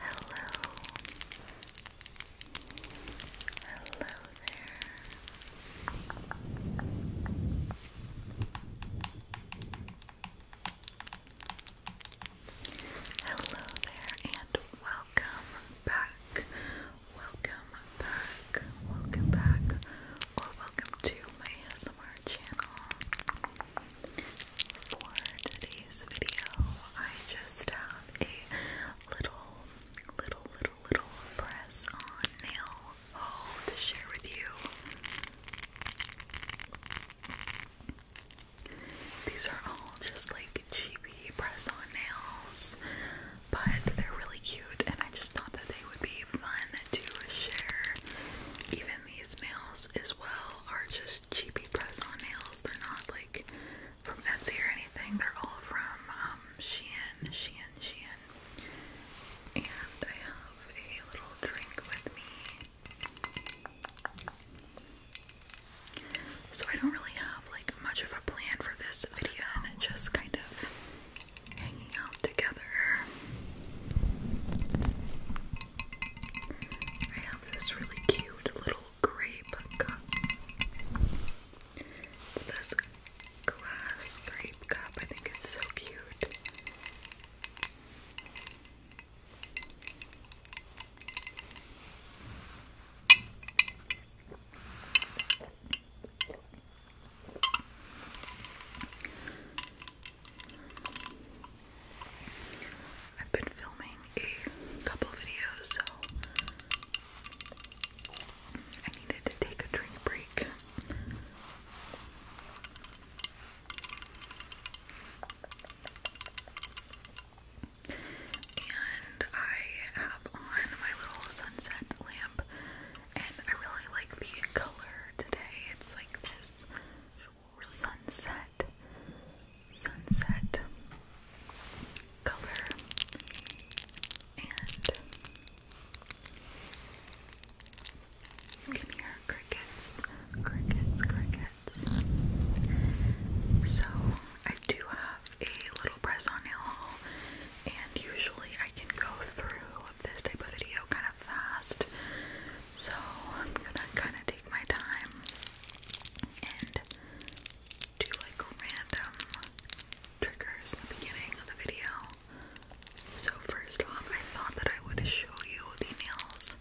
Hello. Hello there. Hello there and welcome back. Welcome back. Welcome back. Or welcome to my ASMR channel for today's video, I just have a little, little, little, little press on nail haul to share with you. These are all just like cheapy press on nails, but they're really cute, and I just thought that they would be fun to share. Even these nails is well are just cheapy press-on nails. They're not like from Etsy or anything. They're all from um, Shein, Shein, Shein. And I have a little drink with me. So I don't really have like much of a plan for this video and just kind of hanging out together. I have this really cute little grape cup. It's this glass grape cup. I think it's so cute. I've been filming a couple videos, so I needed to take a drink break. And I have on my little sunset lamp, and I really like the color today. It's like this sunset, sunset color, and you can hear crickets, crickets, crickets. So I do have a little press on nail, and usually I can go through this type of video kind of fast so I'm gonna kind of take my time and do like random triggers in the beginning of the video. So first off, I thought that I would show you the nails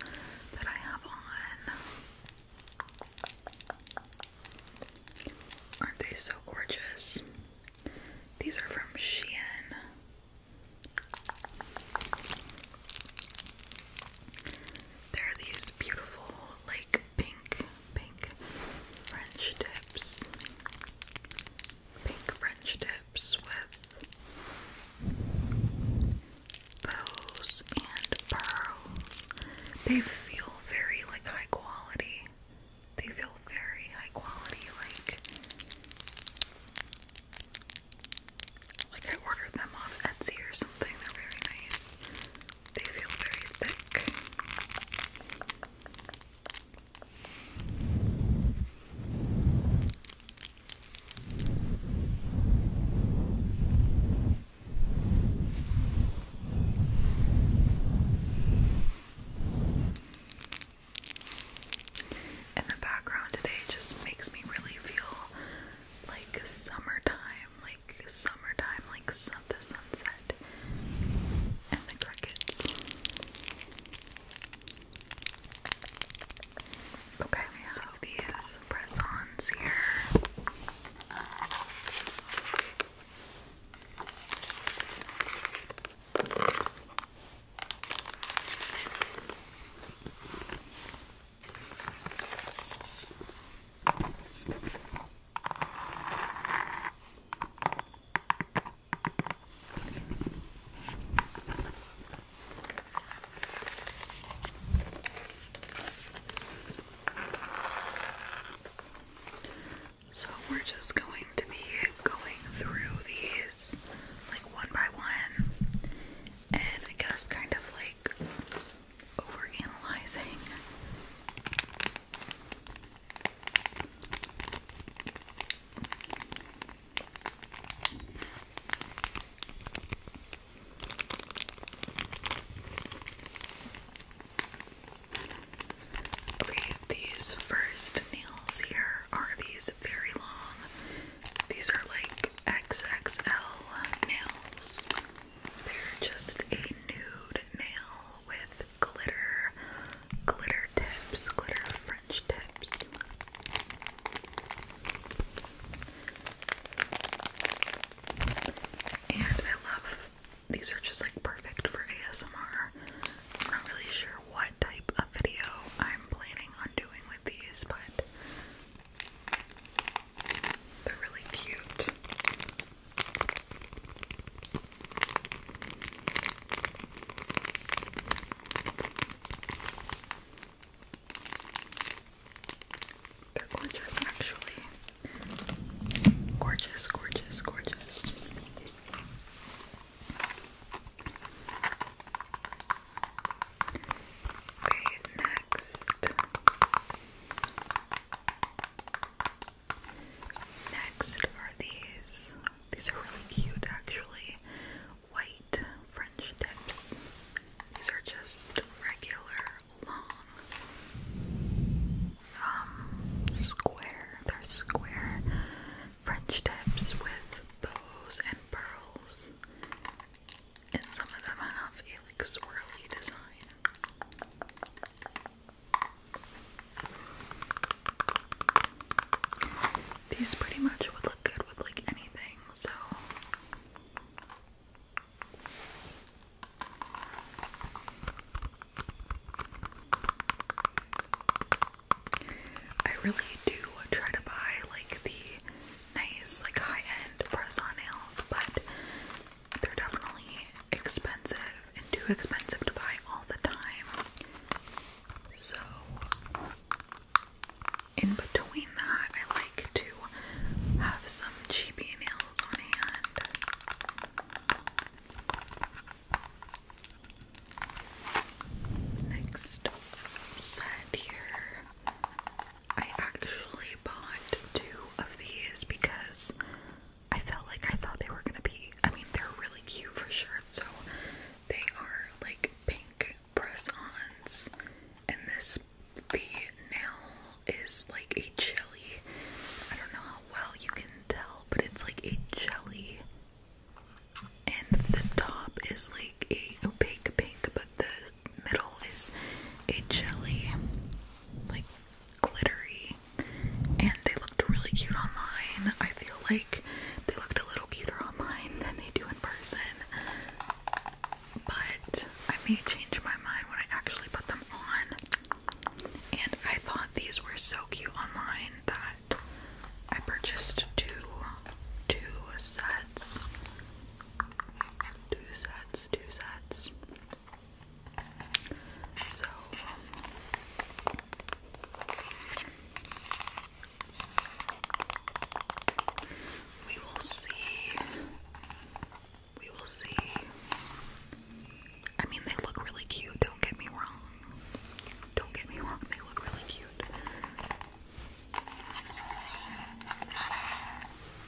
that I have on. Aren't they so gorgeous? These are from Shein. There are these beautiful, like pink, pink French tips. Pink French tips with bows and pearls. They feel very like high quality. They feel very high quality, like like I ordered them on Etsy or something. They're very nice. They feel very thick. And the background today just makes me really feel like summertime, like summertime, like the sunset and the crickets. Okay, we have these press-ons here. So we're just going to be going through these like one by one and I guess kind of like over analyzing. these first nails here are these very long these are like XXL nails. They're just a nude nail with glitter, glitter tips, glitter French tips. And I love these are just like perfect for ASMR. I'm not really sure what type of video I'm planning on doing with these, but they're really cute. They're gorgeous, actually. Gorgeous, gorgeous, gorgeous. Okay, next. Next are these. These are really cute actually. White French tips. These are just regular long um square. They're square. French tips with bows and pearls, and some of them have a like swirly design. These pretty much would look good with like anything, so. I really do try to buy like the nice, like high-end press-on nails, but they're definitely expensive and too expensive to buy all the time. So in between that, I like to have some cheapy nails on hand. Next set here. I actually bought two of these because I felt like I thought they were gonna be I mean they're really cute for sure, so they are like pink press-ons and this the nail is like a jelly. I don't know how well you can tell, but it's like a jelly and the top is like a opaque pink, but the middle is a jelly, like glittery. And they looked really cute online. I feel like they looked a little cuter online than they do in person. But I may change my mind when I actually put them on. And I thought these were so cute online that but I purchased two two sets. Two sets, two sets. So um, we will see. We will see. I mean, they look really cute, don't get me wrong, don't get me wrong, they look really cute.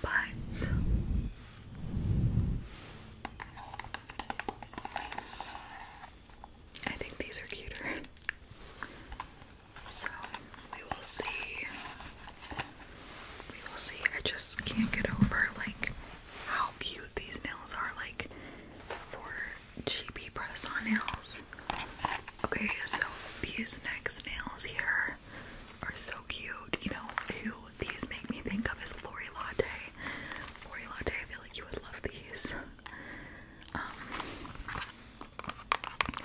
But I think these are cuter. So we will see. We will see. I just can't get over like how cute these nails are like for GB press on nails. Okay, so these next nails here are so cute. You know these make me think of as Lori Latte. Lori Latte, I feel like you would love these. Um,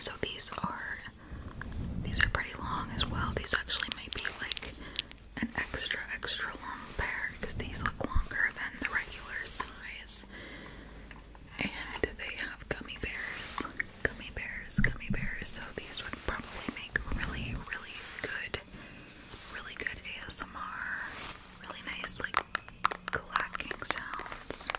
so these are these are pretty long as well. These actually might be like an extra extra long pair because these look longer than the regulars eyes. And they have gummy bears. Gummy bears, gummy bears. So these would probably make really, really good, really good ASMR. Really nice, like, clacking sounds.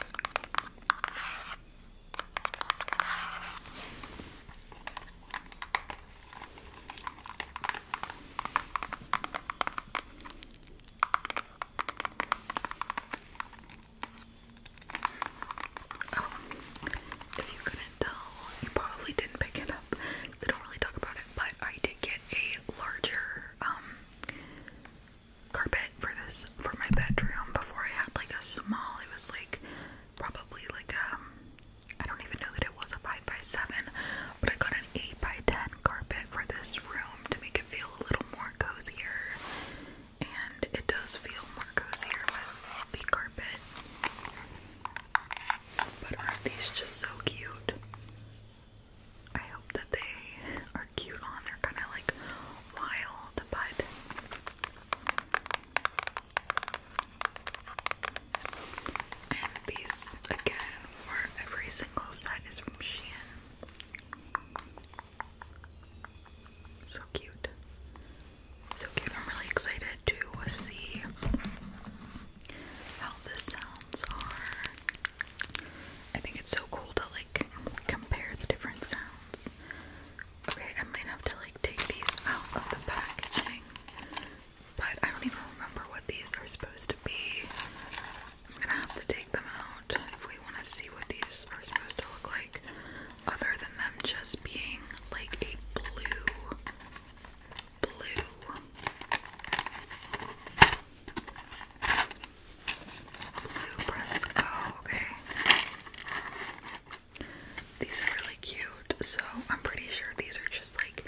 Oh, if you couldn't tell, you probably didn't pick it up. They don't really talk about it, but I did get a larger um carpet for this for my bedroom. Before I had like a small, it was like probably like um I don't even know it was a 5 by 7 but I got an 8 by 10 carpet for this room to make it feel a little more cozy. And it does feel more cozier with the carpet. But are these just so cute? I hope that they are cute on. They're kind of like wild, but and these again were every single set is from Shein. So cute. So cute. I'm really excited to see how the sounds are. I think it's so cool to like compare the different sounds. Okay, I might have to like take these out of the packaging but I don't even remember what these are supposed to be. I'm gonna have to take them out if we want to see what these are supposed to look like, other than them just being like a blue. Blue. Blue pressed. Oh, okay. These are really cute. So I'm pretty sure these are just like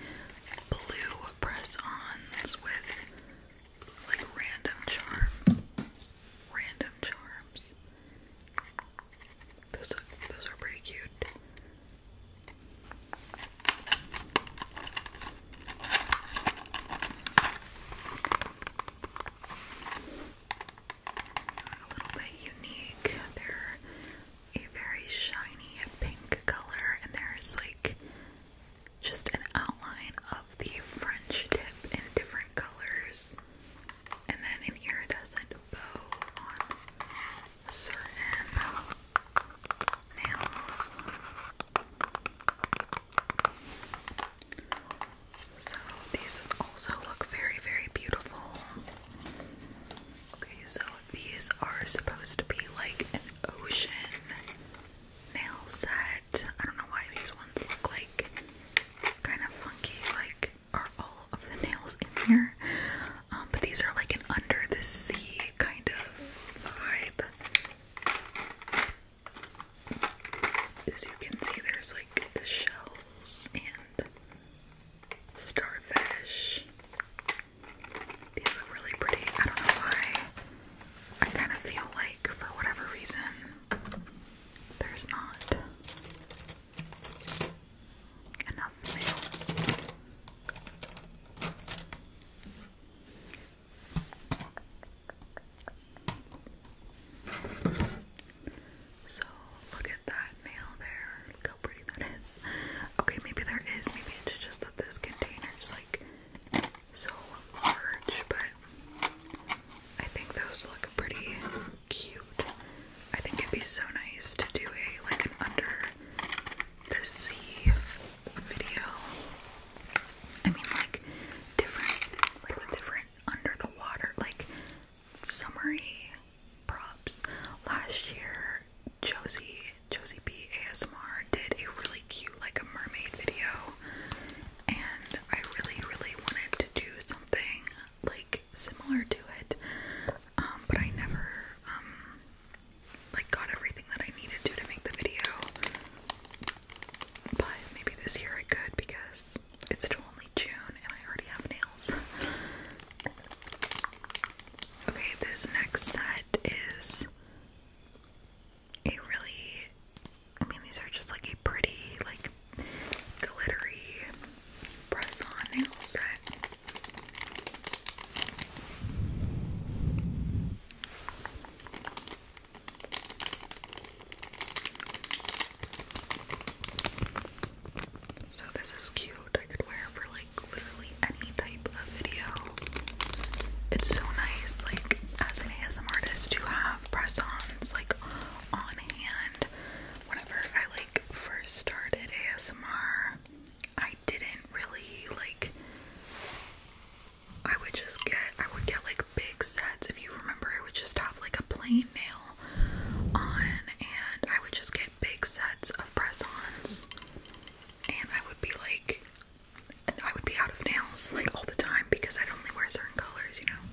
blue press-ons with like random charms. random charms. Those are, those are pretty cute. A little bit unique. they a very shiny pink color, and there's like just an outline of the French tip in different colors, and then an iridescent bow on certain nails. So these also look very, very beautiful. Okay, so these are supposed to be like an ocean nail set. I don't know why these ones look like kind of funky, like are all of the nails in here. Um, but these are like an under the sea kind of vibe. As you can see, there's like shells and starfish. These look really pretty. I don't know why. I kind of feel like, for whatever reason, there's not enough nails. So, look at that nail there. Look that is. Okay, maybe there is. Maybe it's just that this container is like so large, but I think those look pretty cute. I think it'd be so nice to do a like an under the sea video. I mean, like different, like with different under the water, like summary props. Last year, Josie Josie B ASMR did a really cute like a mermaid video and I really really wanted to do something like similar to it um, but I never um, like got everything that I needed to to make the video but maybe this year I could because it's still only June and I already have nails Okay, this next set is a really, I mean, these are just like a pretty, like, glittery press on nail set. So, this is cute. I could wear for like like literally any type of video. It's so nice, like as an ASM artist, to have press-ons like on hand. Whenever I like first started ASMR, I didn't really like. I would just get, I would get like big sets. If you remember, I would just have like a plain nail on, and I would just get big sets of press-ons and I would be like, I would be out of nails like all the time because I'd only wear certain colors, you know.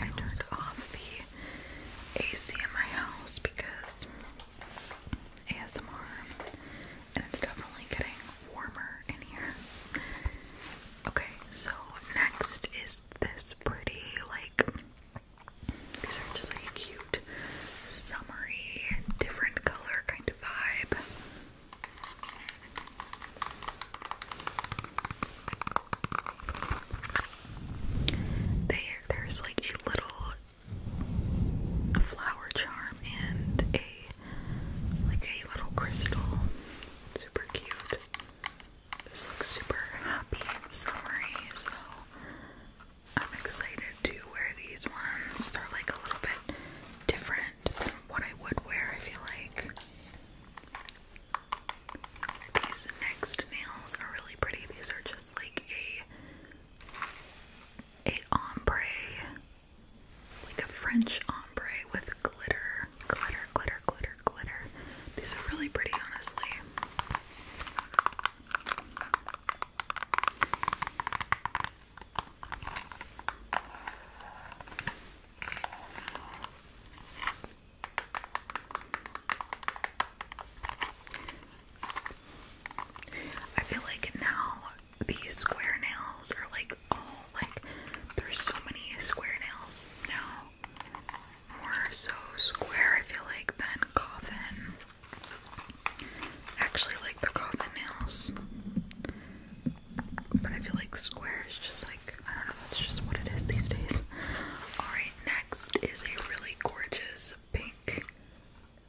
I turned off the AC in my house because ASMR, and it's definitely getting warmer in here. Okay, so next is this pretty, like, these are just like a cute, summery, different color kind of vibe. They, there's like a little a flower charm and a like a little crystal. Super cute. This looks super happy and summery, so I'm excited to wear these ones. They're like a little bit different than what I would wear, I feel like. These next nails are really pretty. These are just like a a ombre, like a French ombre with glitter, glitter, glitter, glitter, glitter. These are really pretty, honestly. I feel like now these square nails are like all like there's so many square nails now. More so square, I feel like, than coffin. Actually, like the coffin nails, but I feel like square is just like I don't know. That's just what it is these days. All right, next is a really gorgeous pink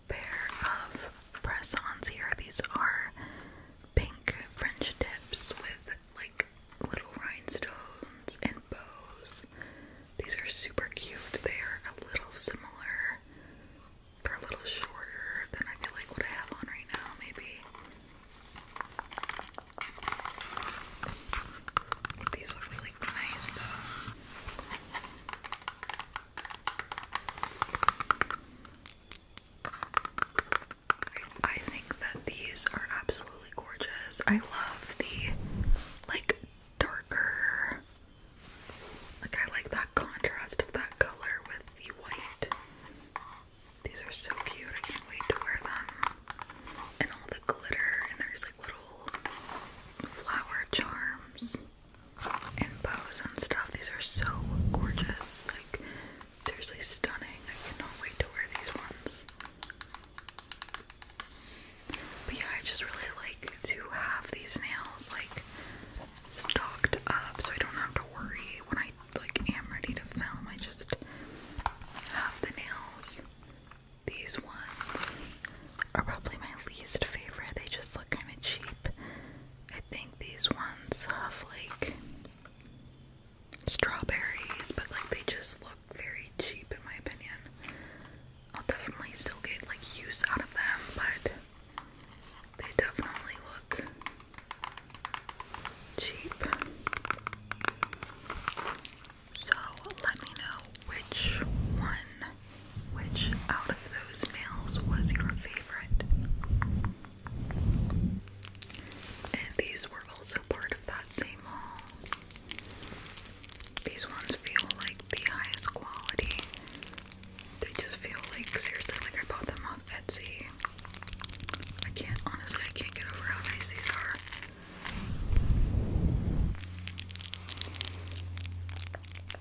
pair of press-ons here. These are pink French tips with like little rhinestones and bows. These are super cute. They are a little similar. They're a little shorter than I feel like what I have on right now, maybe. These look really nice I think that these are absolutely gorgeous. I love the like darker like I like that contrast of that color with the white. These are so cute. I can't wait to wear them. And all the glitter and there's like little flower charms and bows and stuff. These are so gorgeous. Like, seriously stunning. I cannot wait to wear these ones. But yeah, I just really like to have these nails like stocked up so I don't have to worry when I like am ready to film. I just have the nails. These ones are probably my least favorite. They just kind of cheap. I think these ones have like strawberries, but like they just look very cheap in my opinion. I'll definitely still get like use out of them, but they definitely look cheap. So let me know which one which out of those nails was your favorite? And these were also part of that same haul. These ones feel like the highest quality. They just feel like, seriously, like I bought them off Etsy. I can't, honestly, I can't get over how nice these are.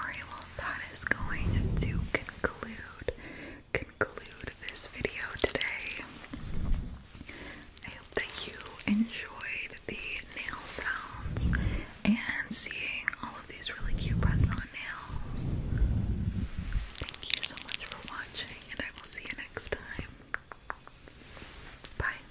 Alright, well, that is going to conclude conclude this video today. I hope that you enjoyed the nail sounds and seeing all of these really cute press-on nails. Thank you so much for watching, and I will see you next time. Bye.